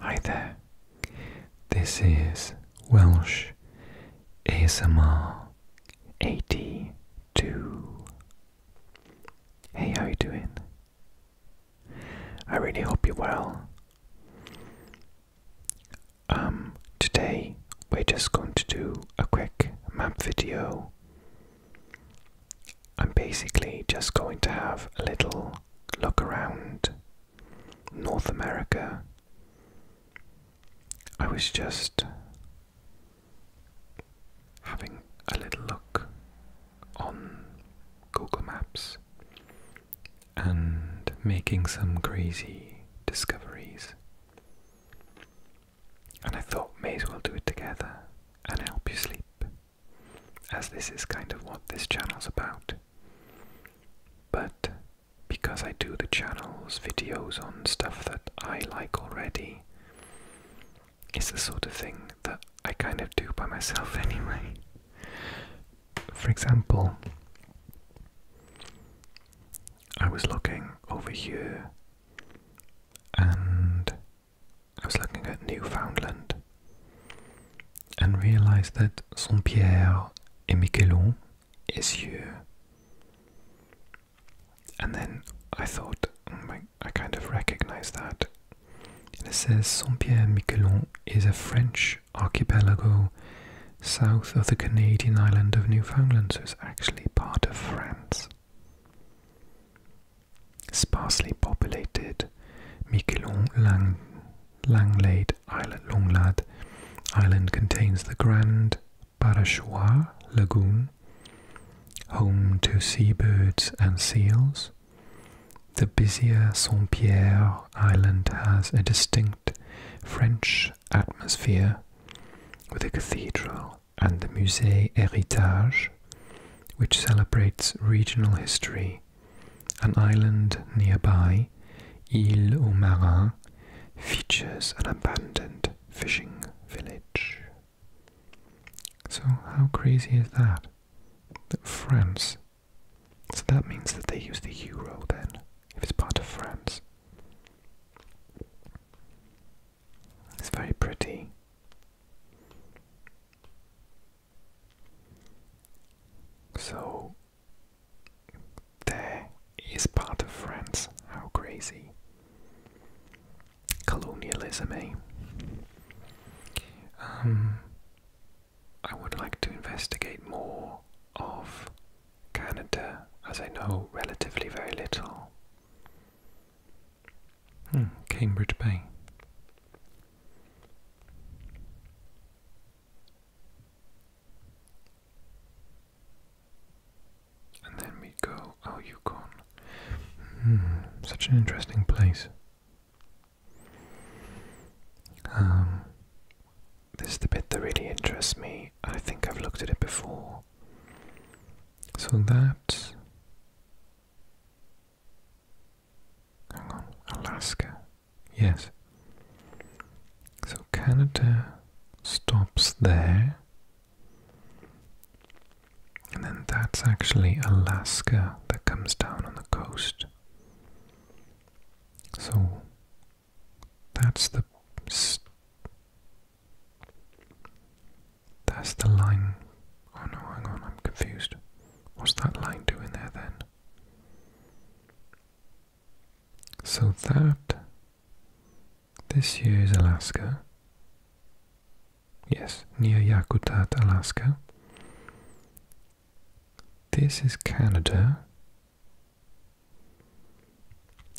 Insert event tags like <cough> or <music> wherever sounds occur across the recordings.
Hi there, this is Welsh ASMR 82. Hey, how you doing? I really hope you're well. Um, today we're just going to do a quick map video I'm basically just going to have a little look around North America. I was just having a little look on Google Maps and making some crazy discoveries. And I thought, may as well do it together and help you sleep as this is kind of what this channel's about. But because I do the channel's videos on stuff that I like already, it's the sort of thing that I kind of do by myself <laughs> anyway. For example, I was looking over here and I was looking at Newfoundland and realized that Saint Pierre and Miquelon is here. And then I thought, mm, I kind of recognize that. And it says Saint Pierre and Miquelon is a French archipelago south of the Canadian island of Newfoundland, so it's actually part of France. Sparsely populated Miquelon Lang Langlade Island Longlad Island contains the Grand Barachois Lagoon, home to seabirds and seals. The busier Saint Pierre Island has a distinct French atmosphere with a cathedral and the Musée Héritage, which celebrates regional history an island nearby, Ile aux Marins, features an abandoned fishing village. So, how crazy is that? That France. So that means that they use the euro then, if it's part of France. It's very pretty. So, there is part of France. How crazy. Colonialism, eh? Um, I would like to investigate more of Canada, as I know relatively very little. Hmm, Cambridge Bay. And then we go, oh, Yukon. Hmm, such an interesting place. Um, this is the bit that really interests me. I think I've looked at it before. So that Hang on, Alaska. Yes. So Canada stops there. And then that's actually Alaska that comes down on the coast. So that's the that's the line Oh no, hang on, I'm confused. What's that line doing there then? So that. This here is Alaska. Yes, near Yakutat, Alaska. This is Canada.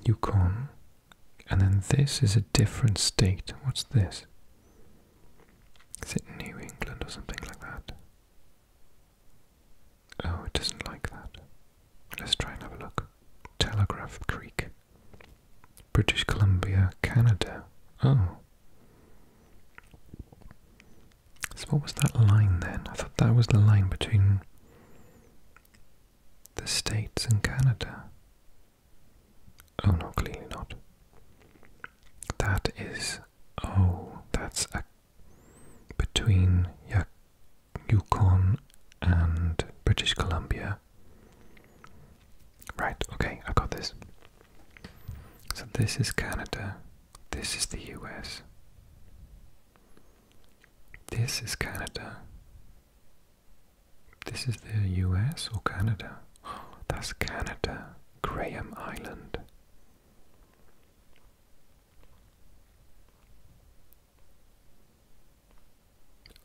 Yukon. And then this is a different state. What's this? Is it New England or something like that? Oh, it doesn't like that. Let's try and have a look. Telegraph Creek, British Columbia, Canada. Oh. So, what was that line then? I thought that was the line between the States and Canada. Oh, no, clearly not. That is. Oh, that's a, between Yukon and British Columbia. Right, okay, I got this. So this is Canada. This is the US. This is Canada. This is the US or Canada? <gasps> That's Canada. Graham Island.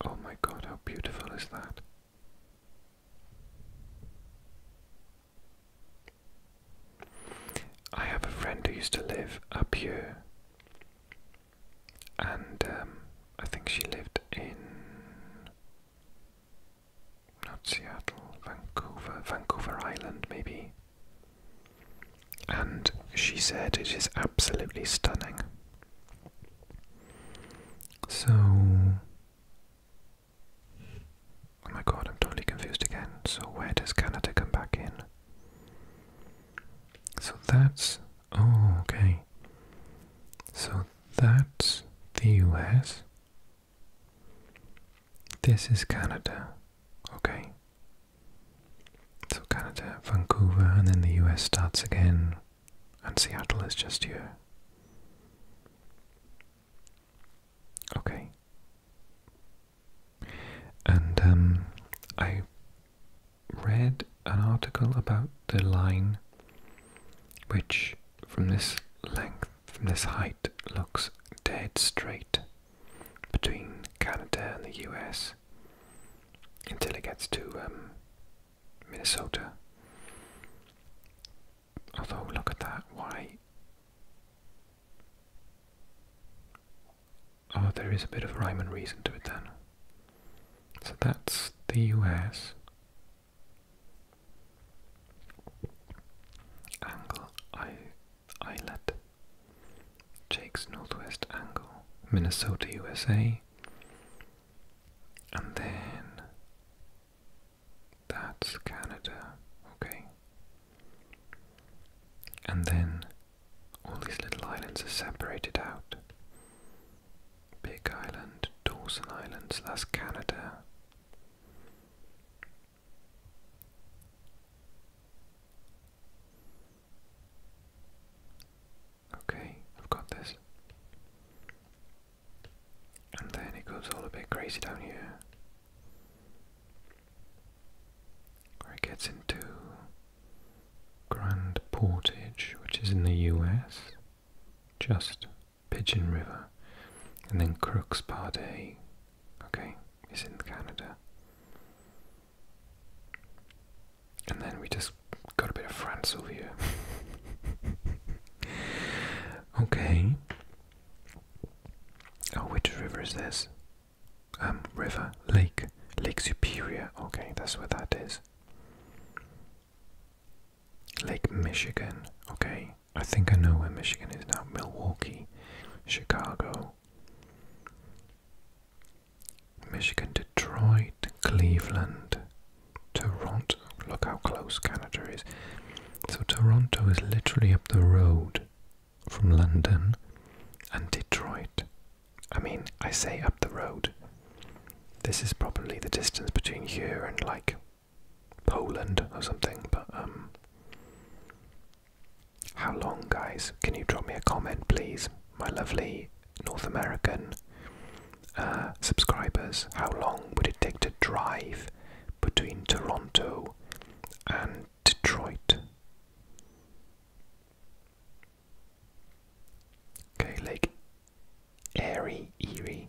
Oh, my God, how beautiful is that! I have a friend who used to live up here, and um, I think she lived in not Seattle, Vancouver, Vancouver Island, maybe. And she said it is absolutely stunning. So. Oh my god, I'm totally confused again. So, where does Canada come back in? So that's. Oh, okay. So that's the US. This is Canada, okay? So, Canada, Vancouver, and then the US starts again, and Seattle is just here. Okay. And um, I read an article about the line, which from this length from this height looks dead straight between Canada and the US until it gets to um, Minnesota. Although, look at that, why? Oh, there is a bit of rhyme and reason to it then. So that's the US. Angle I Islet, Jake's Northwest Angle, Minnesota, USA, and then that's Canada, okay. And then all these little islands are separated out. Big Island, Dawson Islands, that's Canada. Okay, I've got this. And then it goes all a bit crazy down here. it gets into Grand Portage, which is in the US, just Pigeon River, and then Crooks Pardee, okay, is in Canada. And then we just got a bit of France over here. <laughs> okay. Oh, which river is this? Um, river, lake, Lake Superior. Okay, that's where that is. Lake Michigan. Okay. I think I know where Michigan is now. Milwaukee, Chicago, Michigan, Detroit, Cleveland, Toronto. Look how close Canada is. So Toronto is literally up the road from London and Detroit. I mean, I say up the road. This is probably the distance between here and like Poland or something, but um, how long guys? Can you drop me a comment please? My lovely North American uh, subscribers, how long would it take to drive between Toronto and Detroit? Okay, Lake Erie, Erie.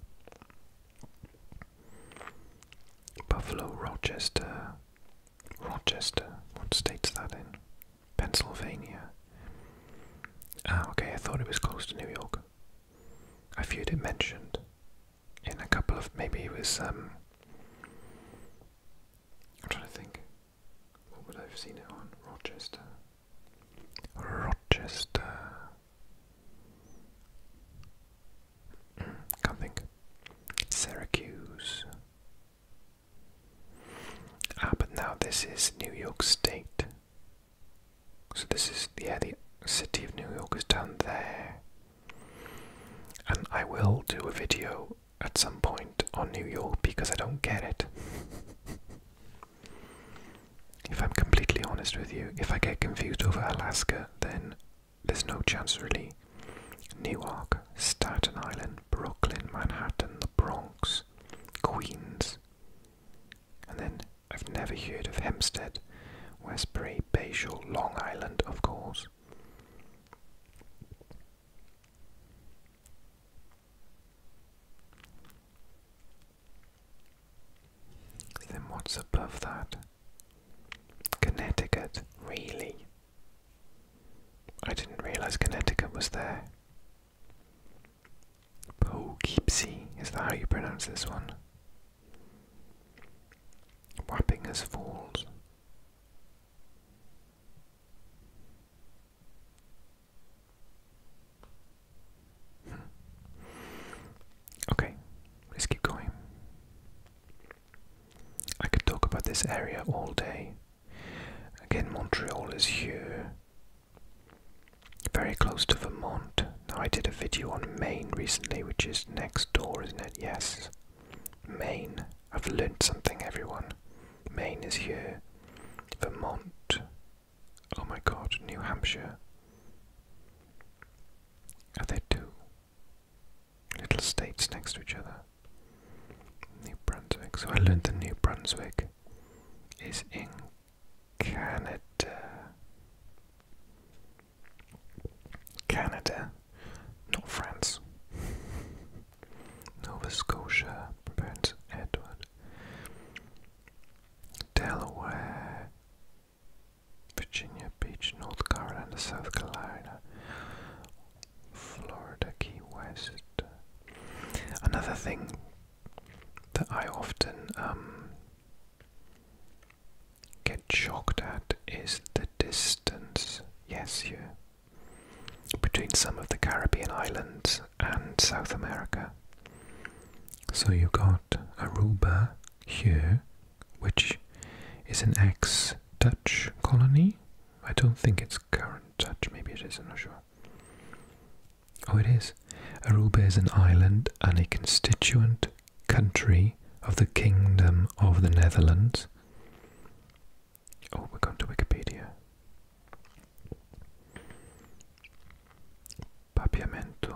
Buffalo, Rochester, Rochester. What state's that in? Pennsylvania. Ah, okay, I thought it was close to New York. I viewed it mentioned in a couple of. Maybe it was. Um, I'm trying to think. What would I have seen it on? Rochester. Rochester. Can't think. Syracuse. Ah, but now this is New York State. So this is yeah, the city of New York is down there. And I will do a video at some point on New York because I don't get it. <laughs> if I'm completely honest with you, if I get confused over Alaska, then there's no chance really. Newark, Staten Island, Brooklyn, Manhattan, the Bronx, Queens. And then I've never heard of Hempstead, Westbury, Bayshore, Long Island, of course. Then what's above that? Connecticut, really? I didn't realize Connecticut was there. Poughkeepsie, is that how you pronounce this one? Wappinger's Falls. Hmm. okay, let's keep going. I could talk about this area all day. Again, Montreal is here. Very close to Vermont. Now, I did a video on Maine recently, which is next door, isn't it? Yes. Maine. I've learned something, everyone. Maine is here. Vermont. Oh my god, New Hampshire. Are there two? little states next to each other. New Brunswick. So I learned that New Brunswick is in Canada. Canada, not France. <laughs> Nova Scotia, Prince Edward. Delaware, Virginia Beach, North Carolina, South Carolina, Florida, Key West. Another thing that I often um, get shocked at is the distance, yes, you, between some of the Caribbean islands and South America. So you've got Aruba here which is an ex Dutch colony. I don't think it's current Dutch, maybe it is, I'm not sure. Oh, it is. Aruba is an island and a constituent country of the Kingdom of the Netherlands. Oh, we're going to Wikipedia. Papiamento.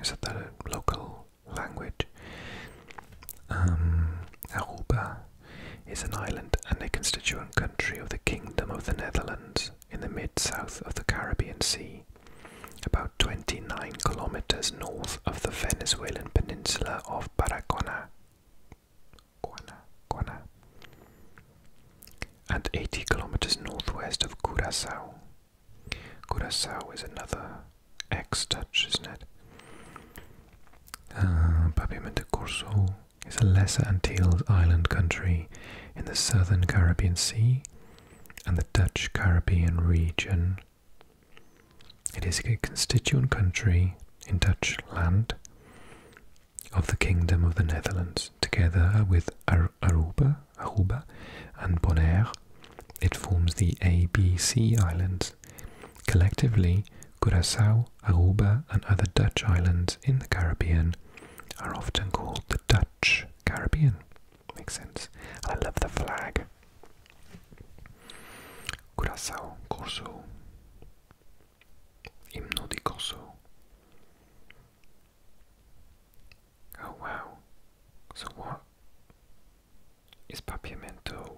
Is that, that a local um, Aruba is an island and a constituent country of the Kingdom of the Netherlands in the mid south of the Caribbean Sea, about 29 kilometers north of the Venezuelan peninsula of Barracona and 80 kilometers northwest of Curacao. Curacao is another ex Dutch, isn't it? Uh, Papiamento is a lesser Antilles island country in the southern Caribbean Sea and the Dutch Caribbean region. It is a constituent country in Dutch land of the Kingdom of the Netherlands, together with Aruba, Aruba and Bonaire, it forms the ABC Islands. Collectively, Curacao, Aruba, and other Dutch islands in the Caribbean are often called the Dutch Caribbean. Makes sense. I love the flag. Curacao, Corso. Himno di Corso. Oh wow. So what is Papiamento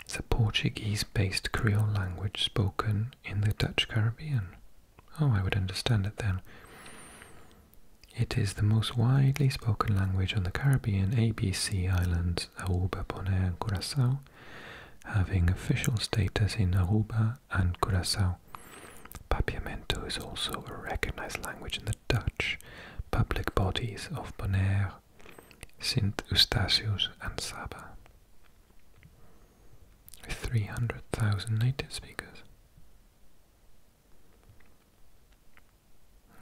it's a Portuguese based Creole language spoken in the Dutch Caribbean. Oh, I would understand it then. It is the most widely spoken language on the Caribbean ABC islands Aruba, Bonaire, Curacao, having official status in Aruba and Curacao. Papiamento is also a recognized language in the Dutch public bodies of Bonaire, St. Eustatius, and Saba. 300,000 native speakers.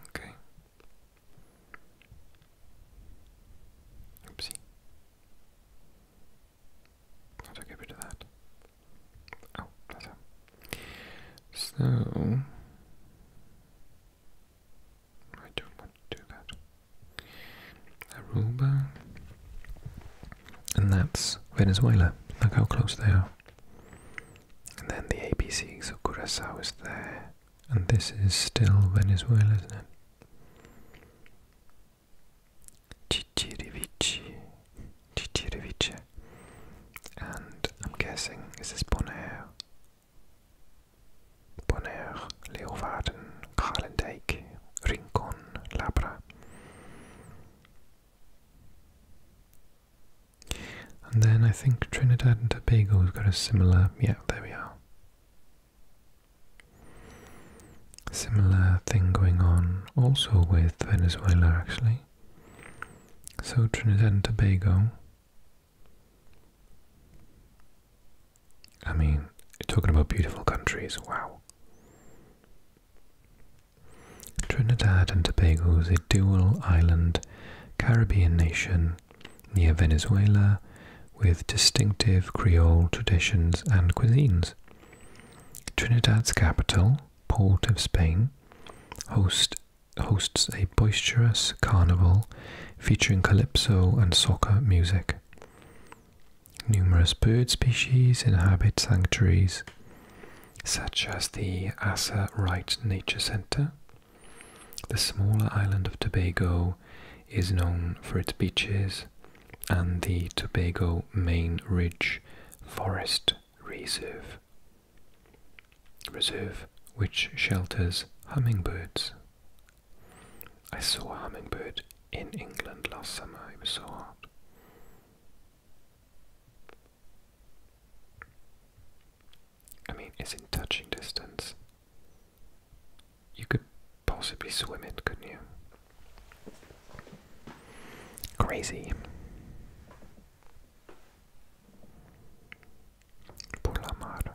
Okay. Oopsie. How do I get rid of that? Oh, that's so I don't want to do that. Aruba. And that's Venezuela. Look how close they are. And then the ABC, so Curacao is there. And this is still Venezuela, isn't it? Chichirivichi. Chichiriviche. And I'm guessing, this is this Bonaire? Bonaire, Leeuwarden, Kralendijk, Rincon, Labra. And then I think Trinidad and Tobago's got a similar, yeah, there we are. Similar thing going on also with Venezuela actually. So Trinidad and Tobago I mean, talking about beautiful countries, wow. Trinidad and Tobago is a dual island Caribbean nation near Venezuela with distinctive Creole traditions and cuisines. Trinidad's capital, Port of Spain, hosts hosts a boisterous carnival featuring calypso and soca music. Numerous bird species inhabit sanctuaries such as the Asa Wright Nature Center. The smaller island of Tobago is known for its beaches and the Tobago Main Ridge Forest Reserve reserve which shelters hummingbirds. I saw a hummingbird in England last summer, it was so hot. I mean, it's in touching distance. You could possibly swim it, couldn't you? Crazy. Por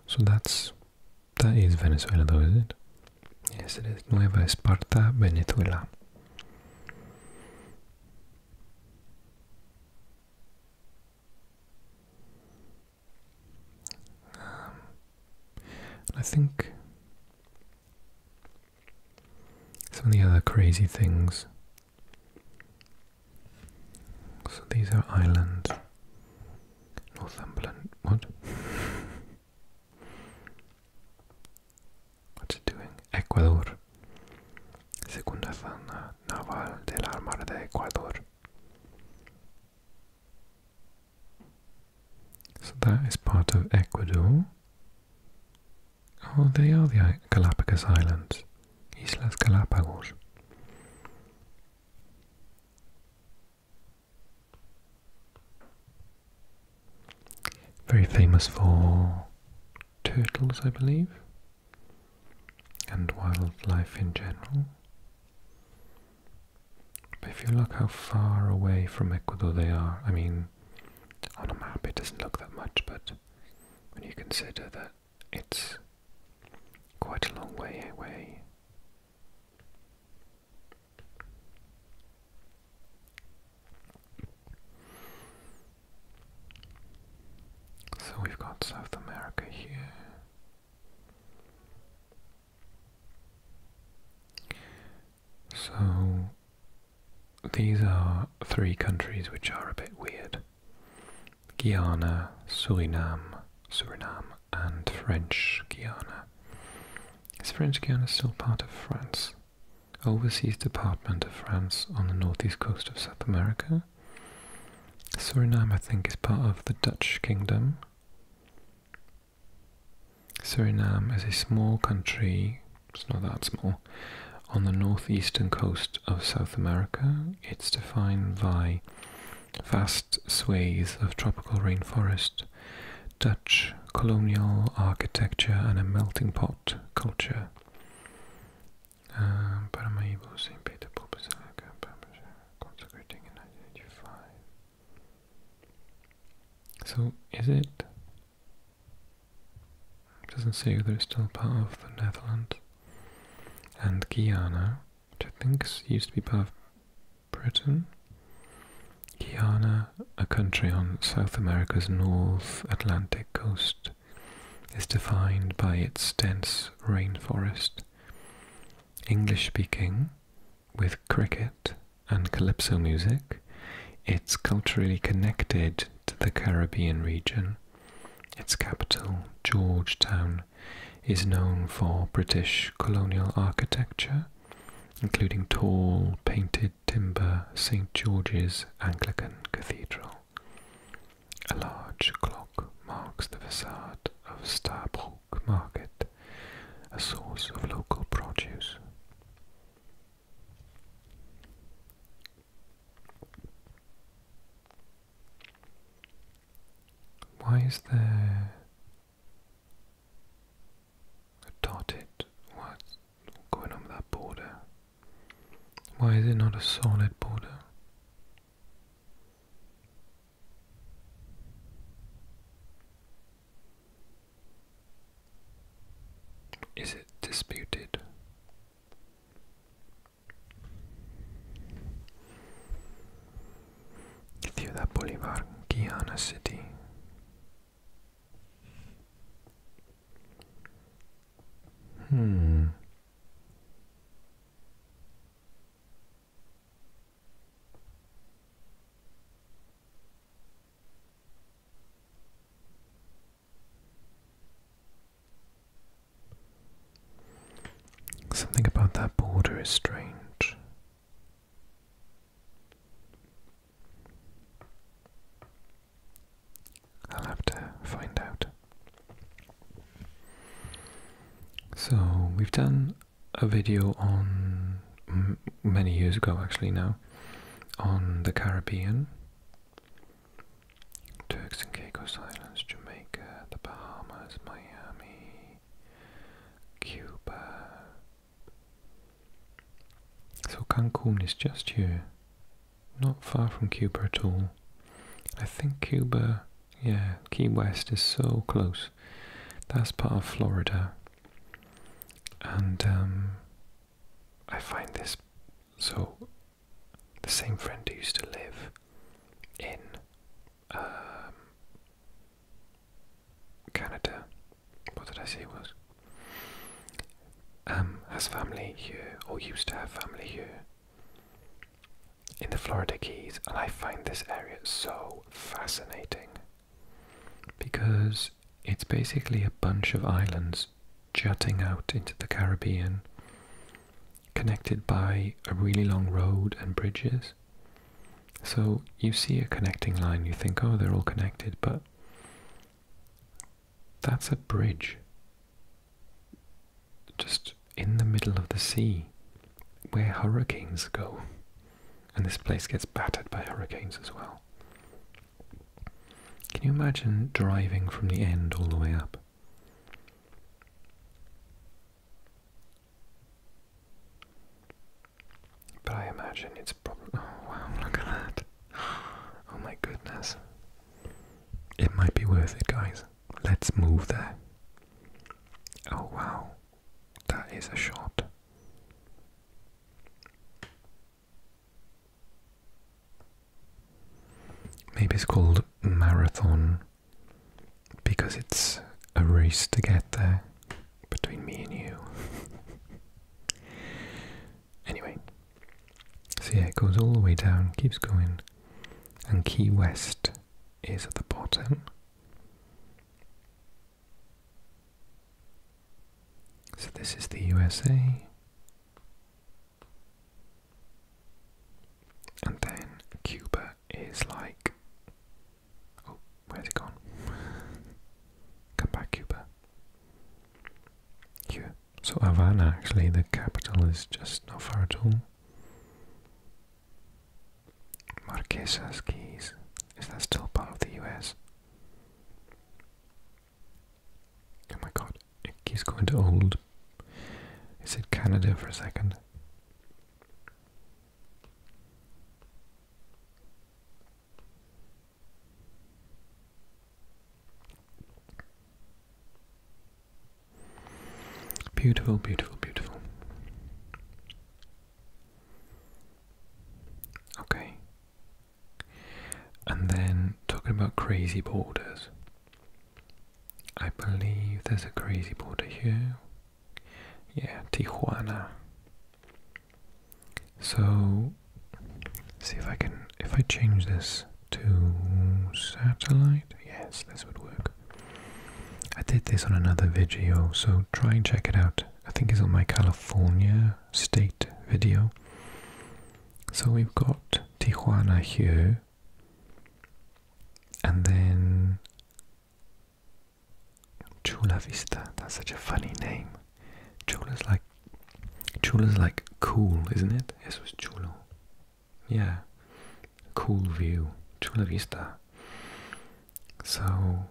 So that's that is Venezuela though, is it? Yes it is. Nueva Esparta, Venezuela. Um, I think some of the other crazy things so these are islands. Northumberland. What? <laughs> What's it doing? Ecuador. Segunda zona naval de Armada de Ecuador. So that is part of Ecuador. Oh, they are the Galapagos Islands. Islas Galápagos. Very famous for turtles, I believe, and wildlife in general. But if you look how far away from Ecuador they are, I mean, on a map it doesn't look that much, but when you consider that it's quite a long way away. So we've got South America here. So these are three countries which are a bit weird. Guiana, Suriname, Suriname, and French Guiana. Is French Guiana still part of France? Overseas department of France on the northeast coast of South America? Suriname, I think, is part of the Dutch kingdom. Suriname is a small country, it's not that small, on the northeastern coast of South America it's defined by vast swathes of tropical rainforest, Dutch colonial architecture, and a melting pot culture. Um, so, is it? Doesn't say whether it's still part of the Netherlands and Guyana, which I think used to be part of Britain. Guyana, a country on South America's North Atlantic coast, is defined by its dense rainforest. English speaking, with cricket and calypso music, it's culturally connected to the Caribbean region. Its capital, Georgetown, is known for British colonial architecture, including tall painted timber St George's Anglican Cathedral. A large clock marks the facade of Starbrook Market, a source of local produce. Why is there a dotted? what going on that border? Why is it not a solid border? Is it disputed? Ciudad Bolívar, Guiana City. Hmm. Something about that border is strange. I'll have to find out. So, we've done a video on many years ago actually now on the Caribbean Turks and Caicos Islands, Jamaica, the Bahamas, Miami, Cuba. So Cancun is just here, not far from Cuba at all. I think Cuba, yeah, Key West is so close. That's part of Florida. And um, I find this so the same friend who used to live in um, Canada. What did I say it was? Um, has family here, or used to have family here, in the Florida Keys, and I find this area so fascinating because it's basically a bunch of islands jutting out into the Caribbean connected by a really long road and bridges. So you see a connecting line, you think, oh, they're all connected, but that's a bridge just in the middle of the sea where hurricanes go. And this place gets battered by hurricanes as well. Can you imagine driving from the end all the way up? But I imagine it's probably. Oh wow, <laughs> look at that. Oh my goodness. It might be worth it, guys. Let's move there. Oh wow. That is a shot. Maybe it's called Marathon because it's a race to get there between me and you. <laughs> anyway, so yeah, it goes all the way down, keeps going, and Key West is at the bottom. So this is the USA. And then Cuba is like. Oh, where's it gone? Come back, Cuba. Cuba. So Havana, actually, the capital is just not far at all. Marquesas Keys. Is that still part of the US? Oh my god, it keeps going to old. It said Canada for a second. Beautiful, beautiful, beautiful. Okay. And then talking about crazy borders. I believe there's a crazy border here. Yeah, Tijuana. So see if I can if I change this to satellite. Yes, this would work. I did this on another video, so try and check it out. I think it's on my California state video. So we've got Tijuana here. And then Chula Vista. That's such a funny name. Chula's like Chula's like cool, isn't it? Eso chulo. Yeah. Cool view. Chula Vista. So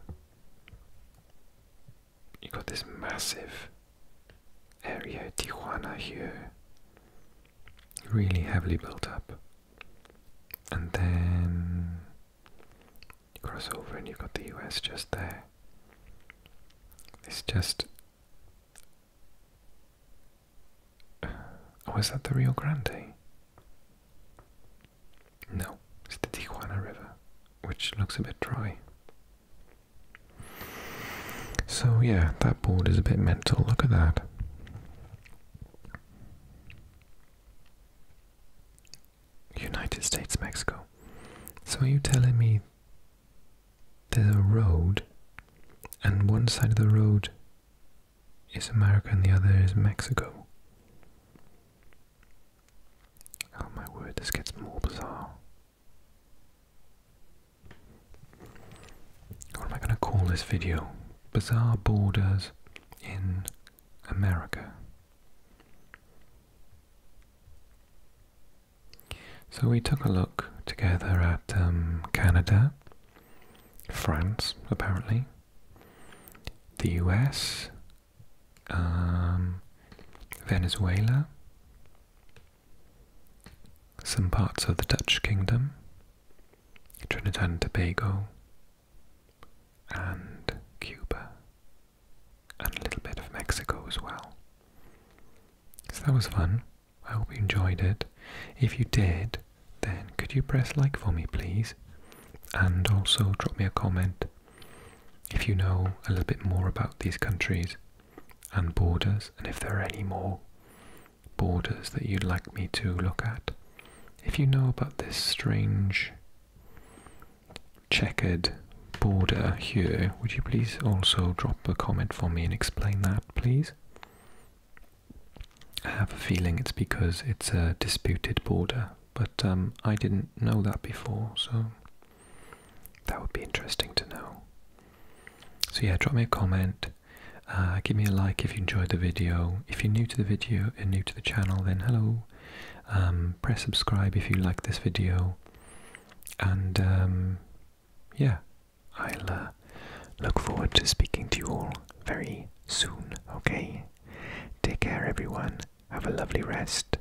you got this massive area Tijuana here. Really heavily built up and then you cross over and you've got the US just there. It's just. Oh, is that the real Grande? No, it's the Tijuana River, which looks a bit dry. So, yeah, that board is a bit mental. Look at that. United States, Mexico. So are you telling me there's a road and one side of the road is America and the other is Mexico? Oh my word, this gets more bizarre. What am I going to call this video? bizarre borders in America. So we took a look together at um, Canada, France, apparently, the US, um, Venezuela, some parts of the Dutch Kingdom, Trinidad and Tobago, and Cuba, and a little bit of Mexico as well. So that was fun. I hope you enjoyed it. If you did, then could you press like for me, please? And also drop me a comment if you know a little bit more about these countries and borders, and if there are any more borders that you'd like me to look at. If you know about this strange checkered border here, would you please also drop a comment for me and explain that, please? I have a feeling it's because it's a disputed border, but um, I didn't know that before, so that would be interesting to know. So yeah, drop me a comment uh, give me a like if you enjoyed the video. If you're new to the video and new to the channel, then hello. Um, press subscribe if you like this video. And um, yeah, I'll uh, look forward to speaking to you all very soon. Okay, take care, everyone. Have a lovely rest,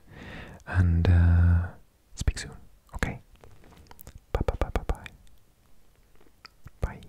and uh, speak soon. Okay, bye bye bye bye bye. Bye.